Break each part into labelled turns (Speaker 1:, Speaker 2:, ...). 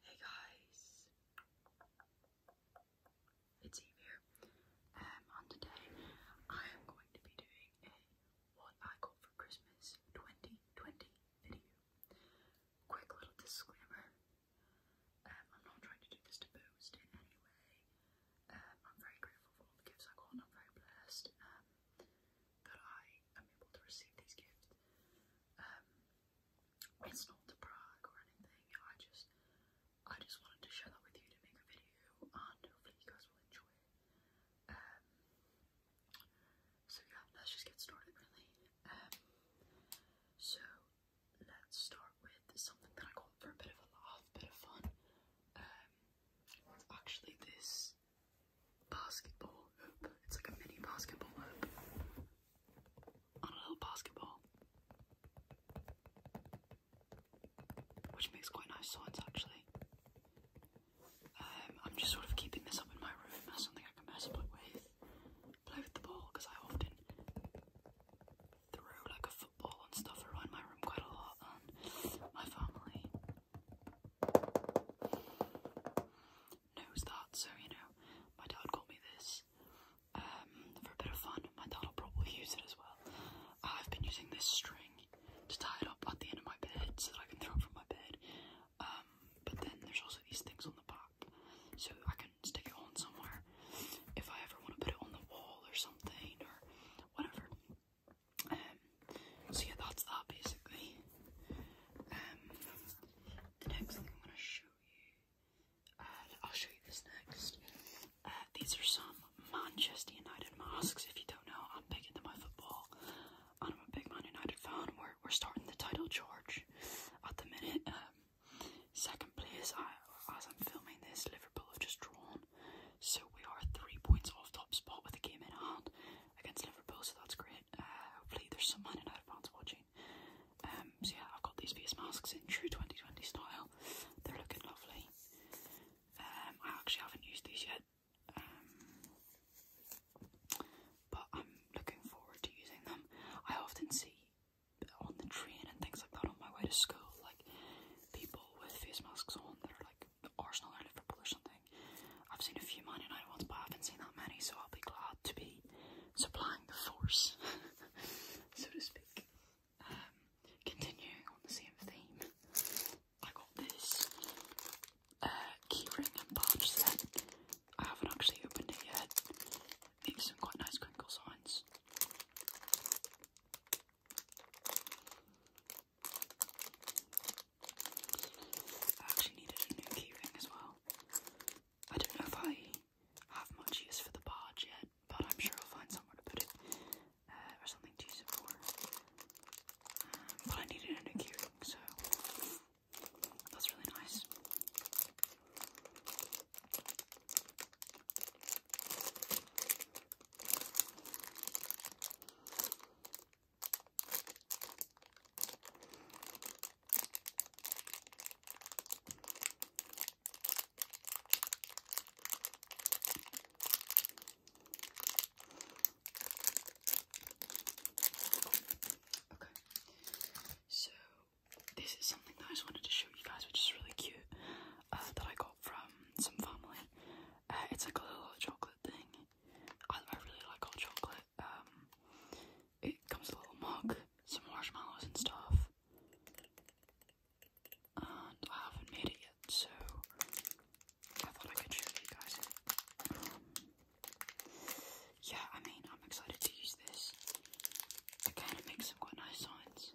Speaker 1: Hey guys, it's Eve and um, today I am going to be doing a What I Got for Christmas 2020 video. Quick little disclaimer, um, I'm not trying to do this to boast in any way. Um, I'm very grateful for the gifts I got I'm very blessed that I am able to receive these gifts. Um, it's not to brag or anything. I just, I just wanted to share that with you to make a video, and hopefully you guys will enjoy um, so yeah, let's just get started, really. Um, so let's start with something that I got for a bit of a laugh, bit of fun. actually, this basketball hoop. It's like a mini basketball hoop on a little basketball, which makes quite nice sounds actually. Um, I'm just sort of keeping this up in my room as something I can mess up with, play with the ball because I often throw like a football and stuff around my room quite a lot, and my family knows that, so you know, my dad called me this um, for a bit of fun. My dad will probably use it as well. I've been using this string to tie it up at the end of my bed so that I can throw it from my bed. Um, but then there's also these things on the back, so I can stick it on somewhere if I ever want to put it on the wall or something or whatever. Um, so yeah, that's that basically. Um, the next thing I'm going to show you, uh, I'll show you this next. Uh, these are some Manchester United masks. If you don't know, I'm big into my football, and I'm a big Man United fan. We're we're starting the title charge at the minute. Um, second place. as I'm filming this, Liverpool have just drawn, so we are three points off top spot with a game in hand against Liverpool, so that's great. Uh, hopefully, there's some Man United fans watching. Um, so yeah, I've got these face masks in true 2020 style. They're looking lovely. Um, I actually haven't used these yet, um, but I'm looking forward to using them. I often see on the train and things like that on my way to school, like people with face masks on that are like Arsenal or Liverpool or something. I've seen a few Man United ones, but I haven't seen that many, so I'll be glad to be supplying the force, so to speak. Um, continuing on the same theme, I got this uh, keyring and badge set. I haven't actually opened it yet. It makes quite nice crinkle sounds. I actually needed a new keyring as well. I don't know if I have much use for the barge yet, but I'm sure I'll find somewhere to put it uh, or something to use it for. Um, but I needed a new keyring, so that's really nice. Okay. So this is something that I just wanted to show you guys, which is really cute, uh, that I got from some family. Uh, it's like a little chocolate thing, I, really like hot chocolate. Um, it comes with a little mug, some marshmallows and stuff. And I haven't made it yet, so I thought I could show you guys um, yeah, I mean, I'm excited to use this. It kind of makes some quite nice signs.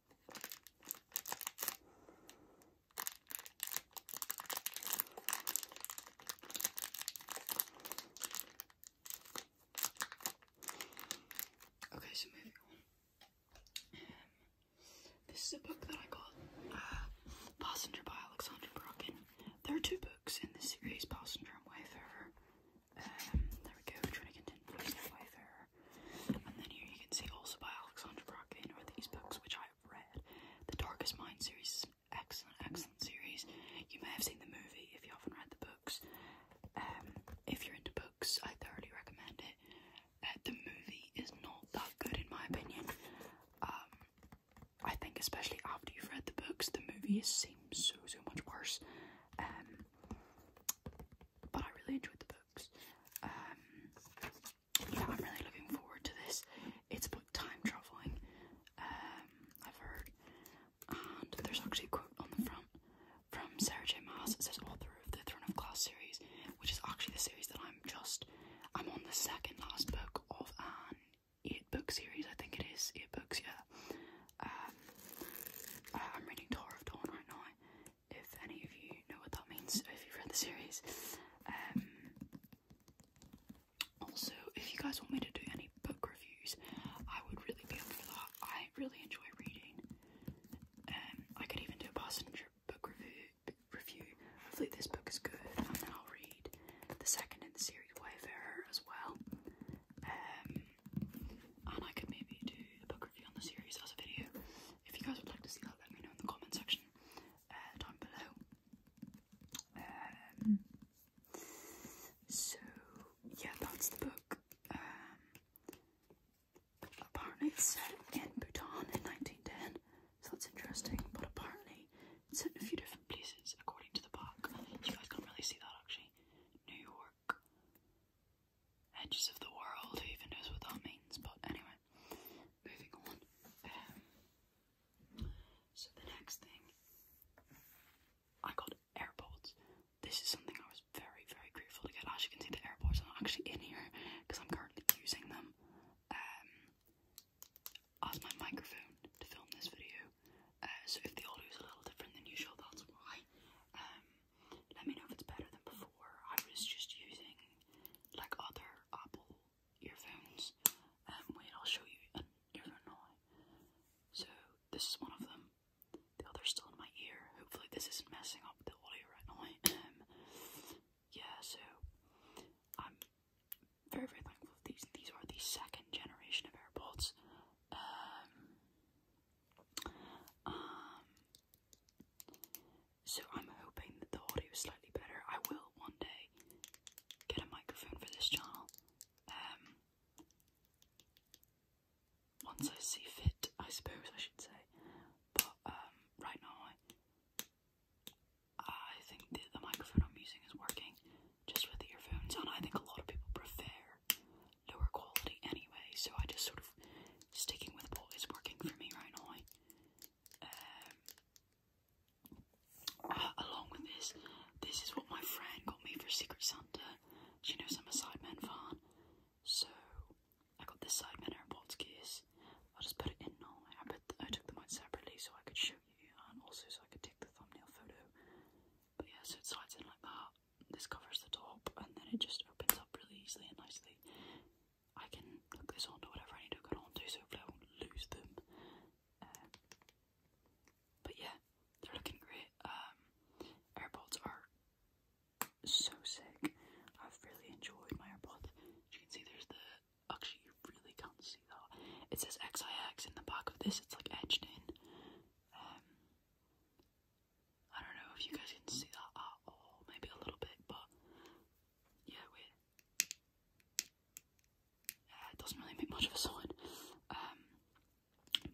Speaker 1: Okay, so moving on. Um, this is a book that I got, uh, Passenger by Alexander Bracken. There are two books in this series, Passenger and Wayfarer. Um, there we go, we're trying to continue Wayfarer. And then here you can see also by Alexandra Brocken are these books which I have read. The Darkest Mind series excellent, excellent series. You may have seen the movie if you haven't read the books. Um, if you're into books, I thoroughly recommend it. Uh, the movie is not that good in my opinion. Um, I think especially after you've read the books, the movie seems so so much worse. Um, but I really enjoyed the book. Um, yeah, I'm really looking forward to this. It's about time traveling. Um, I've heard, and there's actually a quote on the front from Sarah J. Maas. that says author of the Throne of Glass series, which is actually the series that I'm just. I'm on the second last book of an eight book series. I think it is eight books. Yeah. Um, I'm reading Tower of Dawn right now if any of you know what that means, if you've read the series. Um, also, if you guys want me to do any book reviews, I would really be up for that. I really enjoy reading. Um, I could even do a passenger book review. Review. Hopefully, this book is good, and then I'll read the second in the series, Wayfarer, as well. Um, and I could maybe do a book review on the series as a video. If you guys would like to see that, let me know in the comment section uh, down below. Um, so yeah, that's the book. Um, apparently set in Bhutan in 1910, so that's interesting. But apparently set in a few different places according to the book. You guys can't really see that actually. New York, edges of the world, who even knows what that means, but anyway, moving on. Um, so, the next thing I got AirPods. This is something I was very, very grateful to get. As you can see, the AirPods are actually in here because I'm currently using them um, as my microphone to film this video. Uh, so, if the audio is a little different than usual, that's why. Um, let me know if it's better than before. I was just using like other Apple earphones. Um, wait, I'll show you an earphone So this is one of them. The other's still in my ear. Hopefully this isn't messing up the audio right now. Um, yeah, so I'm very very thankful these. These are the second generation of AirPods. Um, um, so I'm hoping that the audio is slightly better. I will one day get a microphone for this channel. Um, once I see fit, I suppose I should say. But um, right now, I, think the, microphone I'm using is working just with earphones, and I think a lot of people prefer lower quality anyway, so I just sort of sticking with what is working for me right now. Um, uh, along with this, this is what my friend got me for Secret Santa. She knows I'm a Sidemen fan, so I got this Sidemen AirPods case. I'll just put it in now. I, put I took them out separately so I could show you, and also so I could take the thumbnail photo. But yeah, so it slides in like that this covers the top and then it just opens up really easily and nicely. I can hook this on to whatever I need to hook it on to, so hopefully I won't lose them. Uh, but yeah, they're looking great. Um, AirPods are so sick. I've really enjoyed my AirPods. you can see, there's the actually you really can't see that. It says XIX in the back of this. It's like etched in. Um, I don't know if you guys can see that at all, maybe a little bit, but yeah, we it doesn't really make much of a sound. Um,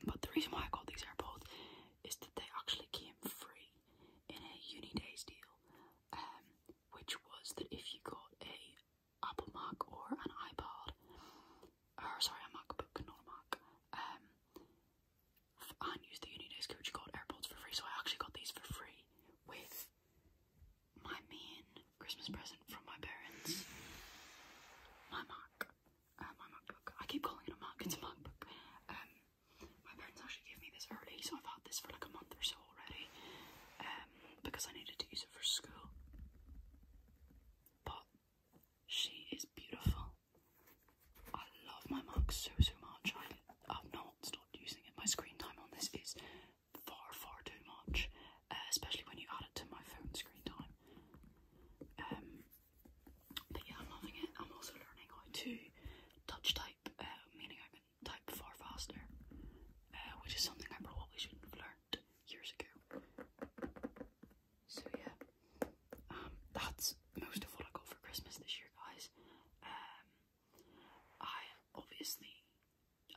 Speaker 1: but the reason why I got these AirPods is that they actually came free in a uni days deal, um, which was that if you got a Apple Mac or an iPad, or sorry, a MacBook, not a Mac, um, and use the Unidays coach called AirPods for free. So I actually got these for free with my main Christmas present from my parents. My Mac. Uh, my MacBook. I keep calling it a Mac, it's a MacBook. Um, my parents actually gave me this early, so I've had this for like a month or so already. Um, because I needed to use it for school. But she is beautiful. I love my mug so so much. I have not stopped using it. My screen time on this is far far too much, uh, especially when you add it to my phone screen time. Um, but yeah, I'm loving it. I'm also learning how to touch type, uh, meaning I can type far faster, uh, which is something I probably should have learned years ago. So yeah, um, that's most of what I got for Christmas this year, guys. Um, I obviously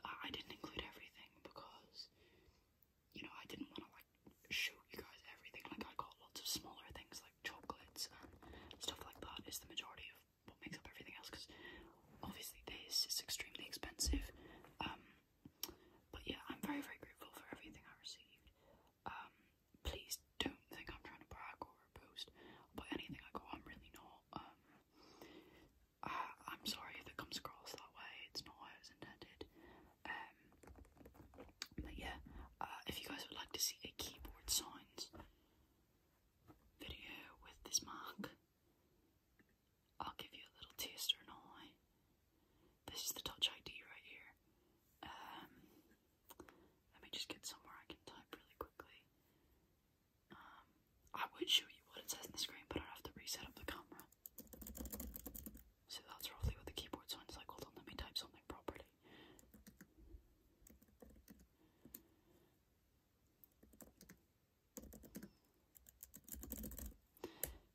Speaker 1: I, didn't include everything because you know I didn't want to like show you guys everything. Like I got lots of smaller things like chocolates and stuff like that. Is the majority of what makes up everything else because obviously this is extremely expensive. Um, but yeah, I'm very very grateful for everything I received. Um, please don't think I'm trying to brag or boast about anything I go. Oh, I'm really not. Um, I, I'm sorry if it comes across that way. It's not how it was intended. Um, but yeah, uh, if you guys would like to see a keyboard sounds video with this mark, I'll give you a little taster now. This is the Touch ID right here. Um, let me just get somewhere I can type really quickly. Um, I would show you what it says on the screen, but i have to reset up the camera. So that's roughly what the keyboard sounds like. Hold on, let me type something properly.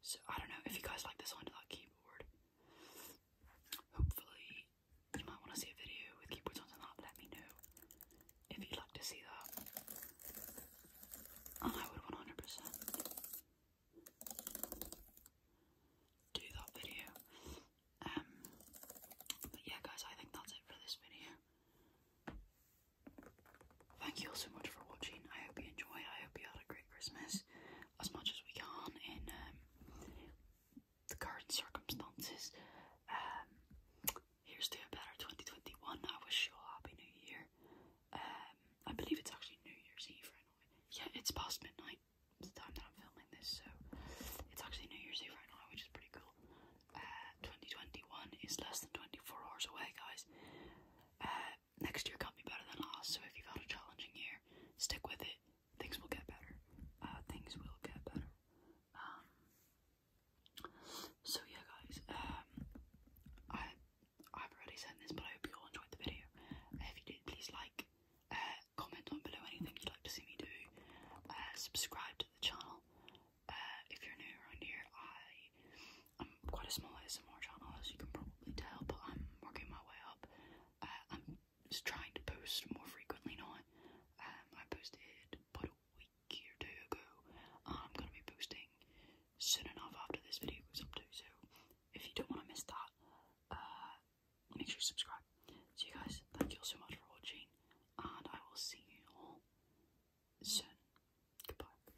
Speaker 1: So I don't know if you guys like the sound of keyboard. Hopefully, you might want to see a video with keyboard sounds and Let me know if you'd like to see that. And I would 100% do that video. Um, but yeah, guys, I think that's it for this video. Thank you all so much for watching. I hope you enjoy. I hope you had a great Christmas as much as we can in um, the current circumstances. Um, here's to a better 2021. I wish you all happy new year. Um, I believe it's actually New Year's Eve right now. Yeah, it's past midnight. It's the time that I'm filming this, so it's actually New Year's Eve right now, which is pretty cool. Uh, 2021 is less than 24 hours away, guys. Uh, next year can't be better than last, so if you've had a challenging year, stick with it. Things will get better. Uh, things will get better. Um, so yeah, guys. Um, I I've already said this, but I hope you all enjoyed the video. if you did, please like, uh, comment down below anything you'd like to see me do. Uh, subscribe to the channel. Uh, if you're new around here, I I'm quite a small ASMR channel, as you can probably tell, but I'm working my way up. Uh, I'm just trying to post more frequently now. Um, I posted about a week or two ago, I'm going to be posting soon enough after this video goes up too, so if you don't want to miss that, uh, make sure you subscribe. So you guys, thank you all so much for watching, and I will see you all soon. Goodbye.